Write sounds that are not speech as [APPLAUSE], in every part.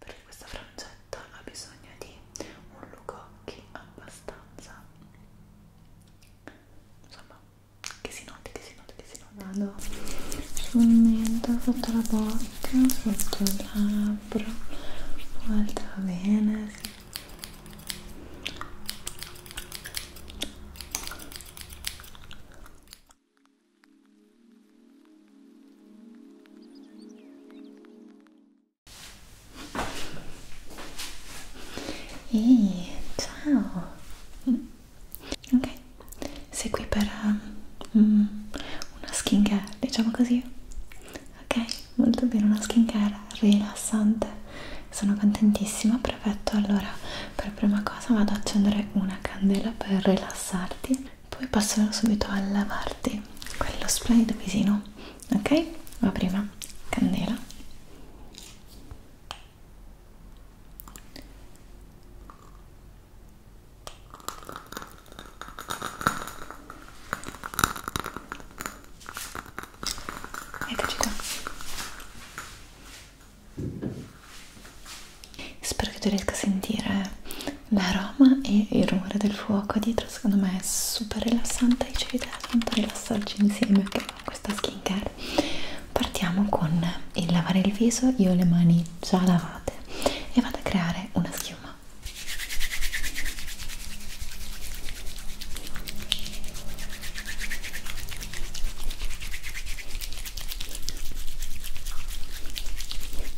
perché questa frangetta ha bisogno di un lucocchi abbastanza insomma che si noti, che si noti, che si noti vado sul mento, sotto la bocca, sotto il labbro molto bene Ehi, ciao! Ok, sei qui per um, mm, una skin care, diciamo così? Ok, molto bene, una skin care rilassante. Sono contentissima, perfetto. Allora, per prima cosa vado ad accendere una candela per rilassarti poi passerò subito a lavarti quello spray del visino ok? ma prima candela eccoci qua spero che tu riesca a sentire l'aroma e il rumore del fuoco dietro secondo me è super rilassante e ci aiuterà tanto a rilassarci insieme anche con questa skincare partiamo con il lavare il viso io ho le mani già lavate e vado a creare una schiuma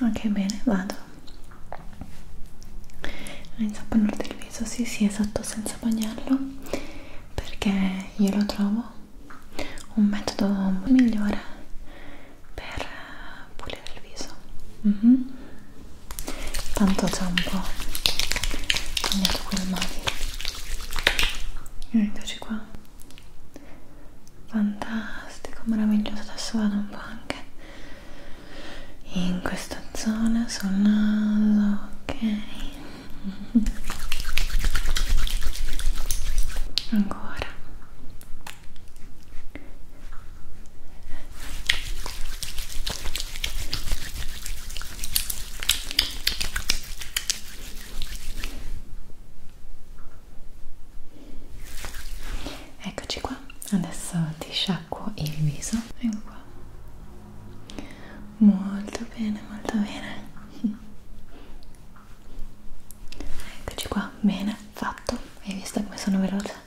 ok bene vado l'insaponare del viso sì sì esatto senza bagnarlo perché io lo trovo un metodo migliore per pulire il viso mm -hmm. tanto c'è un po' cambiato quel male eh, eccoci qua fantastico meraviglioso adesso vado un po' anche in questa zona sul naso ok mm -hmm. ancora Eccoci qua, adesso ti sciacquo il viso. Ecco qua. Molto bene, molto bene. [LAUGHS] Eccoci qua, bene, fatto. Hai visto come sono veloce?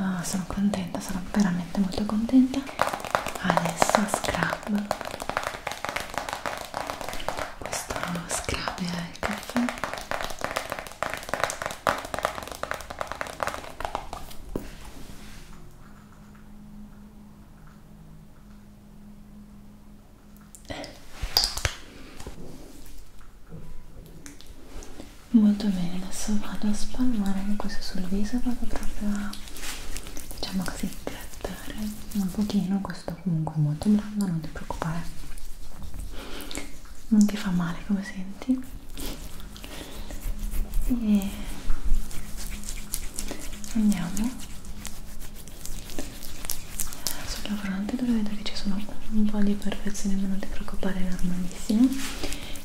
Ah, sono contenta, sono veramente molto contenta. Adesso scrub. Questo scrub è al caffè molto bene adesso vado a spalmare un po' sul viso vado proprio a diciamo così grattare un pochino questo comunque è molto blando non ti preoccupare non ti fa male come senti e andiamo sulla fronte dove vedo che ci sono un po' di imperfezioni ma non ti preoccupare è normalissimo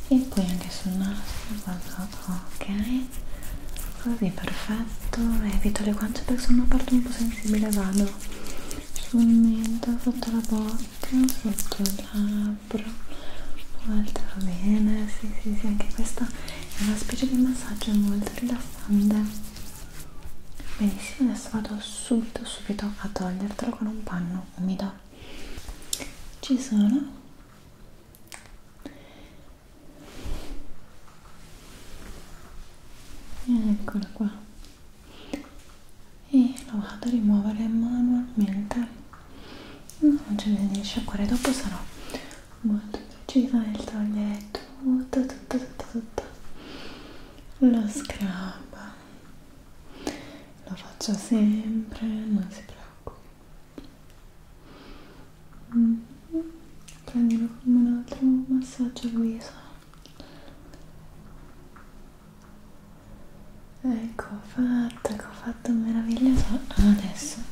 e poi anche sul naso vado ok così perfetto evito le guance perché sono una parte un po' sensibile vado sul mento sotto la bocca sotto il labbro Molto bene, sì, sì, sì, anche questo è una specie di massaggio molto rilassante. Benissimo, adesso vado subito, subito a togliertelo con un panno umido ci sono eccola qua e lo vado a rimuovere manualmente non ce ne riesce a cuore dopo sarò molto precisa nel togliere tutto tutto tutto tutto lo scrub lo faccio sempre, non si preoccupi. Mm -hmm. Prendilo come un altro massaggio al viso. Ecco fatto, ecco fatto, meraviglioso. Adesso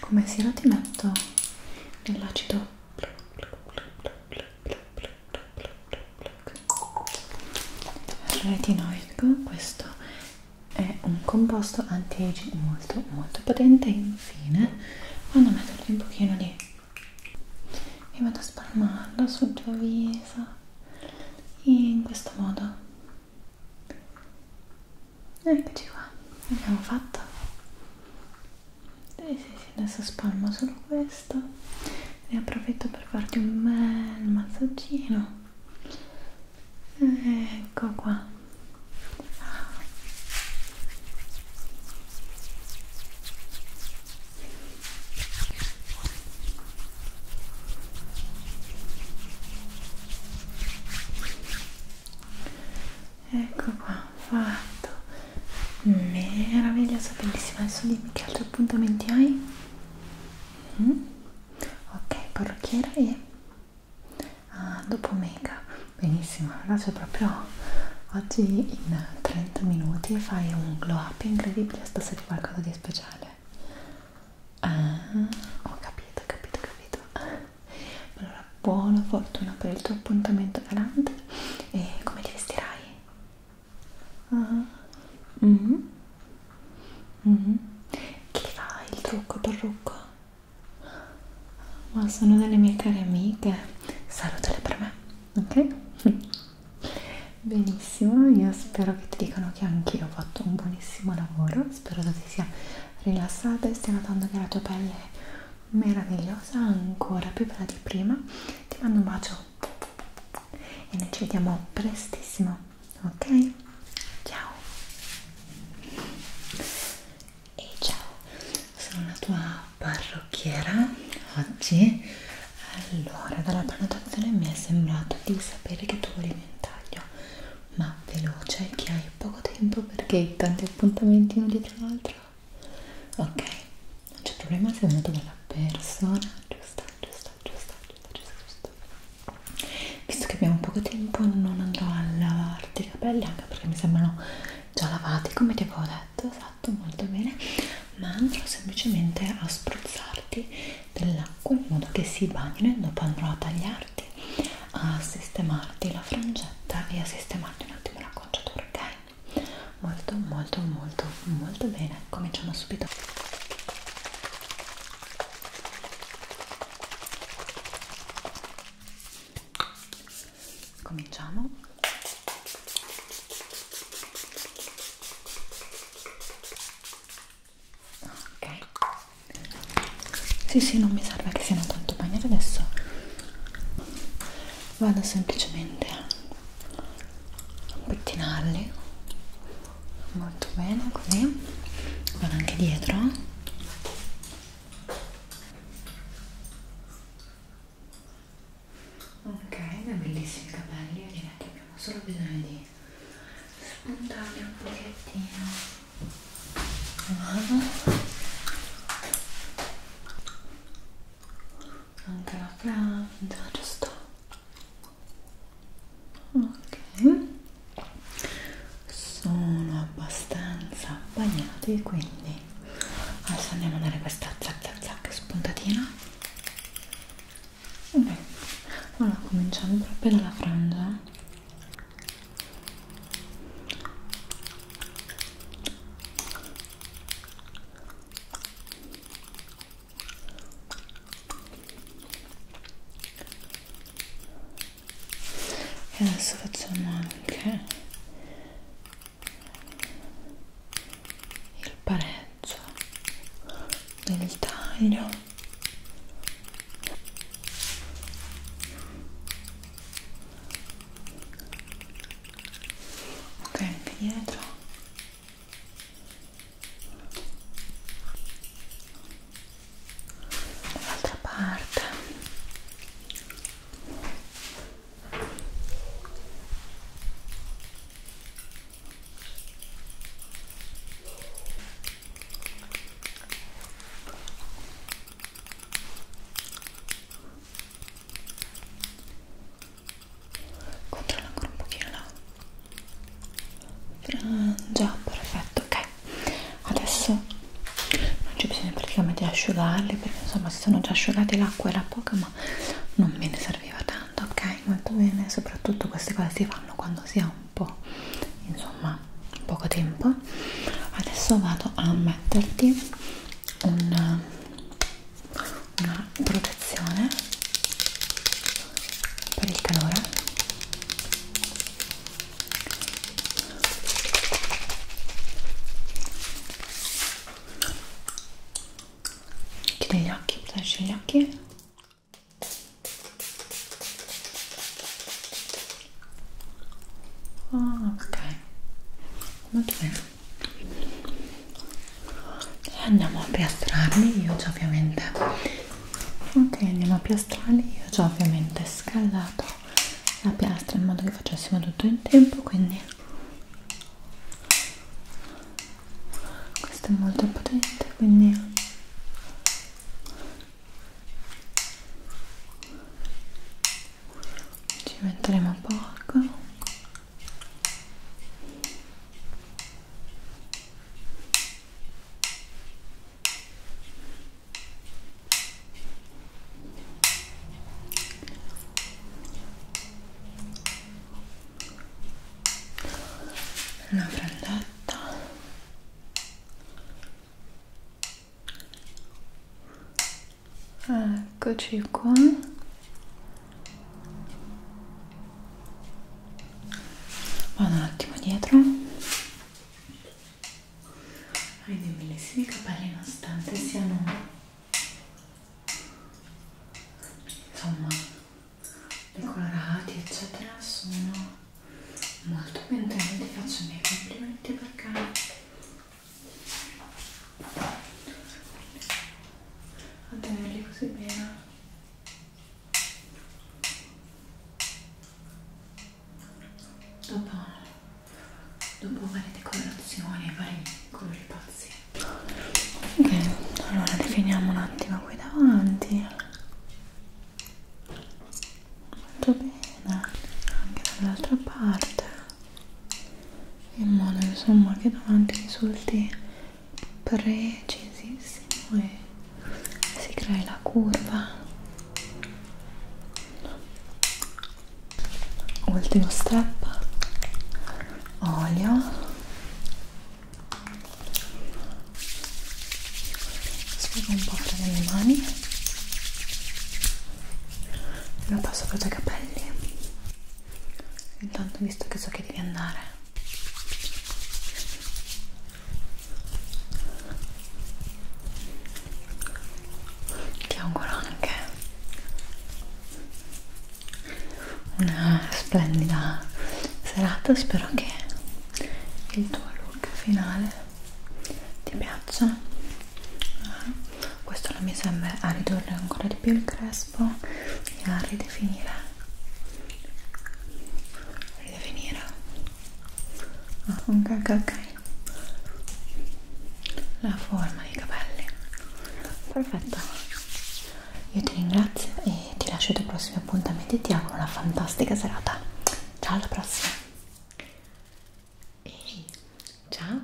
come si lo ti metto nell'acido retinoico questo è un composto anti-aging molto molto potente infine vado a metterti un pochino lì e vado a spalmarlo sul tuo viso in questo modo Eccoci eh, qua, l'abbiamo fatto. Sì, sì, sì, adesso spalmo solo questo e approfitto per farti un bel massaggino. Ecco qua ecco qua fatto meraviglioso bellissimo adesso dimmi che altri appuntamenti hai mm -hmm. ok parrucchiera e ah, dopo mega benissimo allora c'è proprio oggi in 30 minuti fai un glow up incredibile stasera qualcosa di speciale Ah, ho capito, ho capito, ho capito. Allora, buona fortuna per il tuo appuntamento galante. E come ti vestirai? Ah, mm -hmm. Mm -hmm. Chi fa il trucco parrucco? Ma sono delle mie care amiche. Salutale per me, ok? [LAUGHS] Benissimo benissimo io spero che ti dicano che anch'io ho fatto un buonissimo lavoro spero che ti sia rilassata e stia notando che la tua pelle è meravigliosa ancora più bella di prima ti mando un bacio e noi ci vediamo prestissimo ok ciao e ciao sono la tua parrucchiera oggi allora dalla prenotazione mi è sembrato di sapere che tu volevi un taglio ma veloce che hai poco tempo perché tanti appuntamenti uno dietro l'altro ok non c'è problema sei venuto dalla persona giusta giusta giusta giusta giusta giusta visto che abbiamo poco tempo non andrò a lavarti i capelli anche perché mi sembrano già lavati come ti avevo detto esatto molto bene ma andrò semplicemente a spruzzarti dell'acqua in modo che si bagnino e dopo andrò a tagliarti, a sistemarti la frangetta e a sistemarti un attimo la conciatura, ok? Molto, molto, molto, molto bene. Cominciamo subito. Cominciamo ok sì sì non mi serve che siano tanto bagnate adesso vado semplicemente a pettinarli molto bene così vado anche dietro ok, da bellissimi capelli direi che abbiamo solo bisogno di spuntarle un pochettino Vado. Ah. anche la frangia già sta ok sono abbastanza bagnati quindi adesso andiamo a dare questa zac zac zac spuntatina ok allora cominciamo proprio dalla frangia eh. e adesso facciamo anche il pareggio del taglio ok anche dietro dall'altra parte controllo ancora un pochino la frangia perfetto ok adesso non c'è bisogno praticamente di asciugarli perché insomma si sono già asciugati l'acqua era poca ma non me ne serviva tanto ok molto bene soprattutto queste cose si fanno quando si ha un po' insomma da poco tempo adesso vado a metterti un, una protezione per il calore chiudi gli occhi, proteggi gli occhi Oh, ok molto bene e andiamo a piastrarli io già ovviamente ok andiamo a piastrarli io già ovviamente scaldato la piastra in modo che facessimo tutto in tempo quindi questo è molto potente quindi ci metteremo poco una fralletta eccoci qua vado un attimo dietro avete bellissimi capelli nonostante siano insomma decolorati eccetera sono molto ben bene, ti faccio i miei complimenti perché a tenerli così bene dopo, dopo varie decorazioni, vari colori pazzi ok, allora definiamo un attimo qui davanti molto bene anche dall'altra parte in modo insomma che davanti risulti precisissimo e si crei la curva ultimo step olio spiego un po' fra le mie mani e lo passo sopra i tuoi capelli intanto visto che so che devi andare ti auguro anche una splendida serata spero che il tuo look finale ti piacciono? Ah, questo mi sembra a ridurre ancora di più il crespo e a ridefinire ridefinire ah, ok ok ok la forma dei capelli perfetto io ti ringrazio e ti lascio i tuoi prossimi appuntamenti ti auguro una fantastica serata ciao alla prossima Ehi, ciao!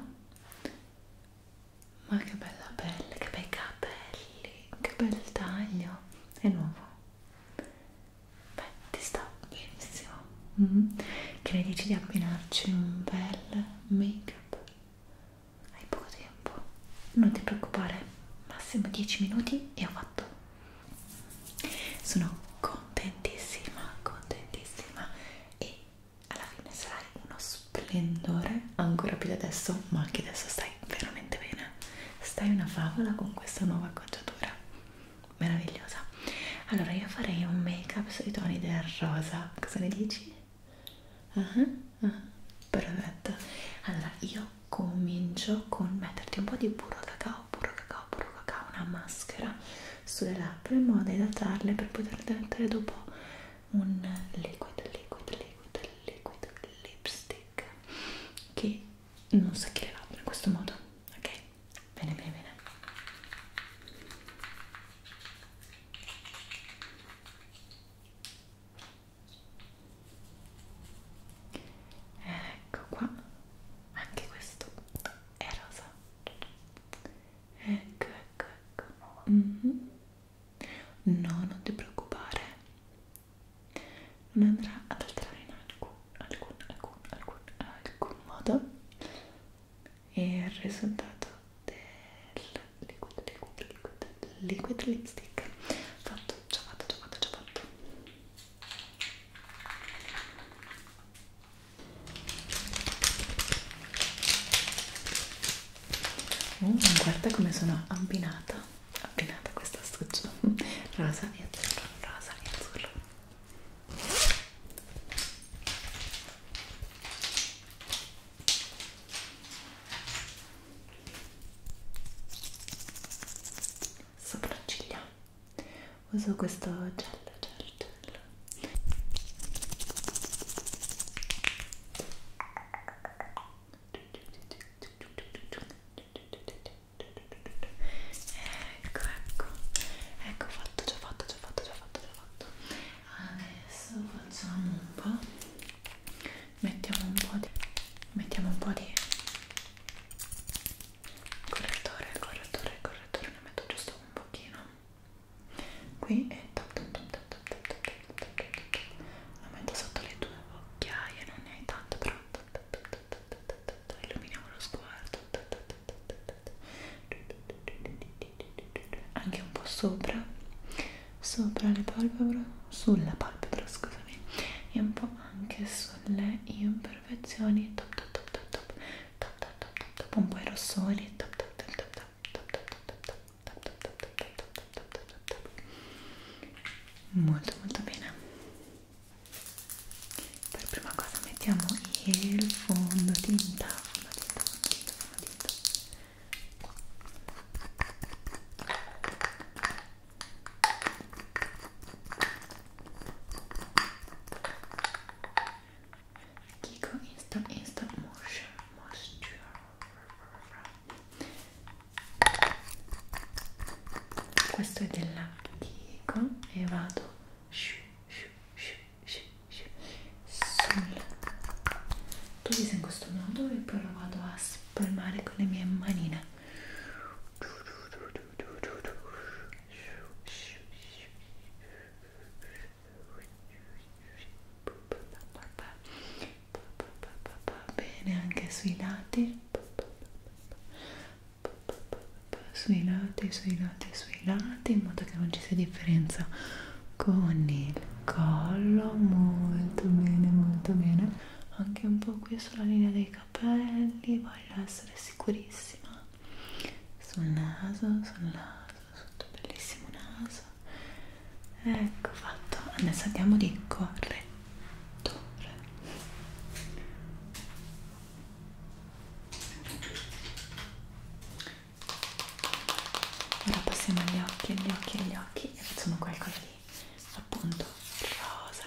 Ma che bella pelle, che bei capelli, che bel taglio! È nuovo? Beh, ti sta benissimo. Mm -hmm. Che ne dici di abbinarci un bel make-up? Hai poco tempo? Non ti preoccupare, massimo 10 minuti e ho fatto sono contentissima, contentissima e alla fine sarai uno splendore ancora più di adesso, ma anche adesso stai veramente bene. Stai una favola con questa nuova acconciatura meravigliosa. Allora io farei un make up sui toni del rosa, cosa ne dici? Uh -huh, uh -huh. Perfetto. Allora io comincio con metterti un po' di burro cacao, burro cacao, burro colloca una maschera sulle labbra in modo da idratarle per poter diventare dopo un liquido, liquido, liquido, liquido lipstick che non secchi le labbra in questo modo, ok? Bene, bene, bene. Ecco qua anche questo è rosa ecco ecco ecco mm -hmm. no non ti preoccupare non andrà ad alterare in alcun alcun alcun alcun, alcun modo e il risultato del liquid liquid liquid liquid lipstick fatto già fatto già fatto già fatto Uh, guarda come sono abbinata, abbinata questa astuccia [LAUGHS] rosa e azzurro, rosa e azzurro. Sopracciglia uso questo gel gel gel ecco ecco ecco fatto già fatto già fatto già fatto già fatto adesso facciamo un po' mettiamo un po' di mettiamo un po' di correttore, correttore, correttore, ne metto giusto un pochino qui e lo metto sotto le tue occhiaie, non ne hai tanto però illuminiamo lo sguardo anche un po' sopra sopra le palpebre sulla palpebra scusami e un po' anche sulle imperfezioni top top top top top top top top top top un po' i rossori top top top top top top top top top top top top top top top top top molto molto bene per prima cosa mettiamo il fondotinta fondotinta fondotinta fondotinta Kiko Instant Instant Motion Moisture questo è della Kiko e vado shu, shu, shu, shu, shu, sul togliese in questo modo e poi lo vado a spalmare con le mie manine bene anche sui lati sui lati sui lati sui lati in modo che non ci sia differenza con il collo molto bene molto bene anche un po' qui sulla linea dei capelli voglio essere sicurissima sul naso, sul naso, sotto il bellissimo naso ecco fatto, adesso andiamo di correttore ora passiamo agli occhi, agli occhi, agli occhi e facciamo qualcosa di appunto rosa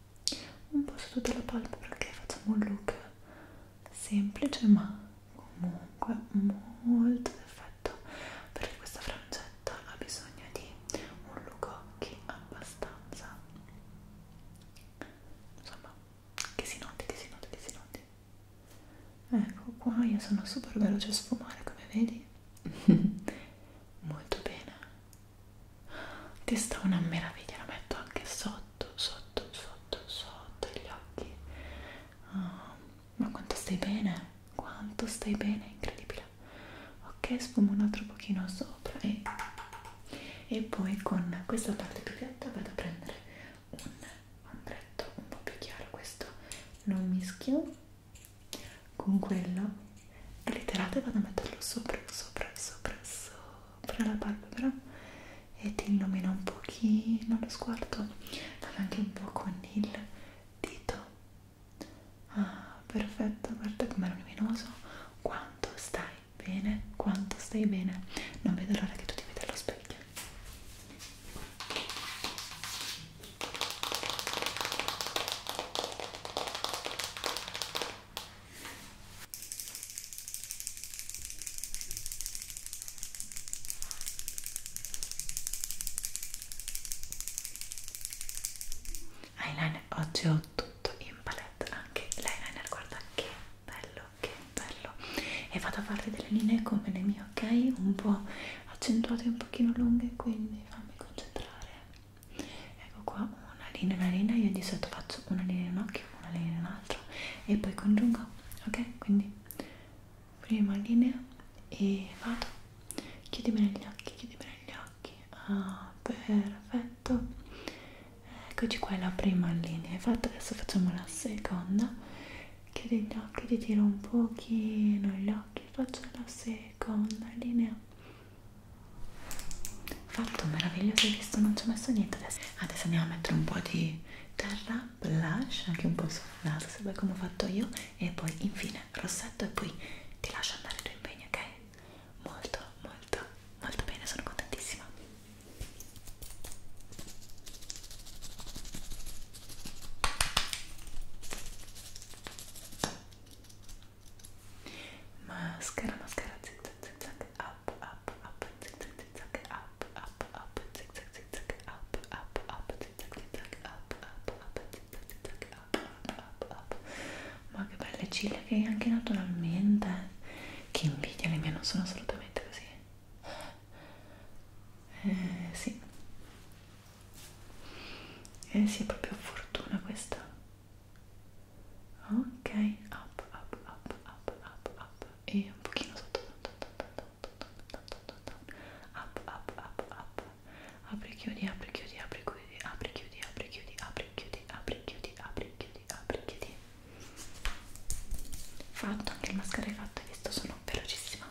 un po' su tutta la palpebra perché facciamo un look semplice ma comunque molto perfetto perché questa frangetta ha bisogno di un look occhi abbastanza insomma che si noti che si noti che si noti ecco qua io sono super veloce a sfumare come vedi [LAUGHS] molto bene ti sta una meraviglia la metto anche sotto sotto sotto sotto gli occhi oh, ma quanto stai bene quanto stai bene incredibile ok sfumo un altro pochino sopra e, e poi con questa parte più piatta vado a prendere un ombretto un po' più chiaro questo lo mischio con quello glitterate vado a metterlo sopra sopra sopra sopra fra la palpebra e ti illumina un pochino lo sguardo fai anche un po' con il dito ah perfetto guarda com'era luminoso quanto stai bene quanto stai bene non vedo l'ora che tu ti veda allo specchio eyeliner oggi ho tutto in palette anche l'eyeliner guarda che bello che bello e vado a farvi delle linee come le mie ok un po' accentuate un pochino lunghe quindi fammi concentrare ecco qua una una linea una linea io di sotto faccio una linea in un occhio una linea in un altro e poi congiungo ok quindi prima linea e vado chiudi bene gli occhi chiudi bene gli occhi ah perfetto eccoci qua è la prima linea fatta adesso facciamo la seconda chiudi gli occhi ti tiro un pochino gli occhi faccio la seconda linea fatto meraviglioso hai visto non ci ho messo niente adesso adesso andiamo a mettere un po' di terra blush anche un po' sul naso se vuoi come ho fatto io e poi infine rossetto e poi ti lascio andare i tuoi impegni ok molto molto molto bene sono contentissima maschera maschera zitta zitta ah up, up, up, zig zag, zig zag, up, up, up, zig zag, zig zag, up, up, up, zig zag, zig zag, up, up, up, zig zag, zig zag, up, up, up, up. Ma che belle ciglia che hai anche naturalmente. Che invidia, le mie non sono assolutamente così. Eh sì. Eh sì, è proprio fortuna questa ok up up up up up up e un pochino sotto up up up up apri chiudi apri chiudi apri chiudi apri chiudi apri chiudi apri chiudi apri chiudi apri chiudi apri chiudi fatto anche il mascara è fatto hai visto sono velocissima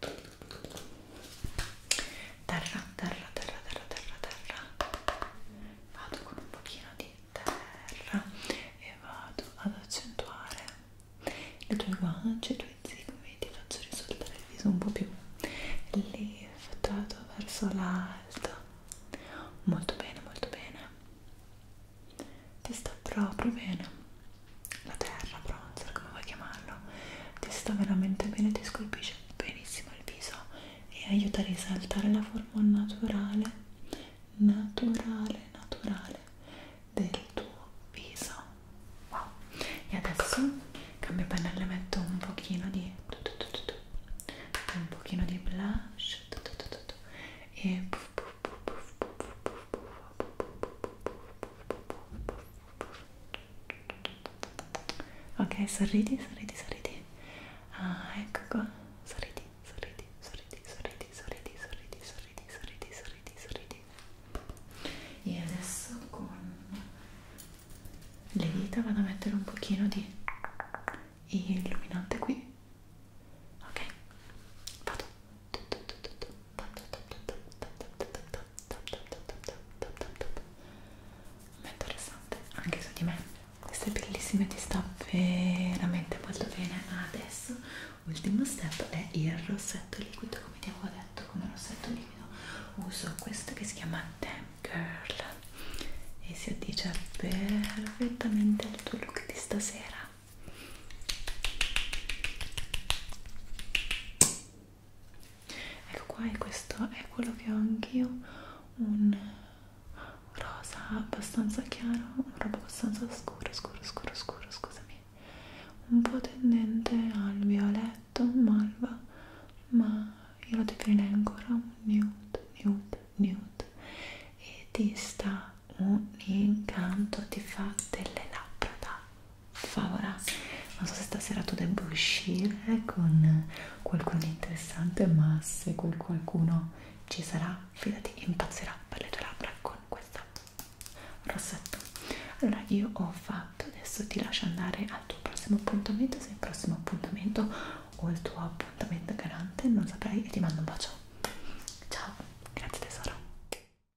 Terra, terra, terra, terra, terra, terra. Vado con un pochino di terra e vado ad accentuare le tue guance, i tuoi zigomi. Ti faccio risoltare il viso un po' più liftato verso l'alto. Molto bene, molto bene ti sta proprio bene la terra, bronzer, come vuoi chiamarlo ti sta veramente bene, ti scolpisce benissimo il viso e aiuta a risaltare la forma naturale naturale, naturale del tuo viso wow e adesso cambio pennello e metto un pochino di un pochino di blush e puff puff puff puff puff puff puff Ok, sorridi, sorridi, sorridi. Ah, ecco qua. Sorridi, sorridi, sorridi, sorridi, sorridi, sorridi, sorridi, sorridi, sorridi, sorridi. E adesso con le dita vado a mettere un pochino di illuminante qui. Ok, vado molto interessante anche su di me questa è bellissima e ti sta veramente molto bene adesso ultimo step è il rossetto liquido come ti avevo detto come rossetto liquido uso questo che si chiama Damn Girl e si addice perfettamente al tuo look di stasera ecco qua e questo è quello che ho anch'io un rosa abbastanza chiaro un roba abbastanza scuro scuro scuro scuro scusami un po' tendente al violetto malva ma io lo definirei ancora un nude nude nude e ti sta un incanto ti fa delle labbra da Favora, non so se stasera tu debba uscire con qualcuno interessante, ma se quel qualcuno ci sarà, fidati, impazzirà per le tue labbra con questo rossetto. Allora, io ho fatto, adesso ti lascio andare al tuo prossimo appuntamento, se il prossimo appuntamento o il tuo appuntamento garante, non saprei, e ti mando un bacio. Ciao, grazie tesoro.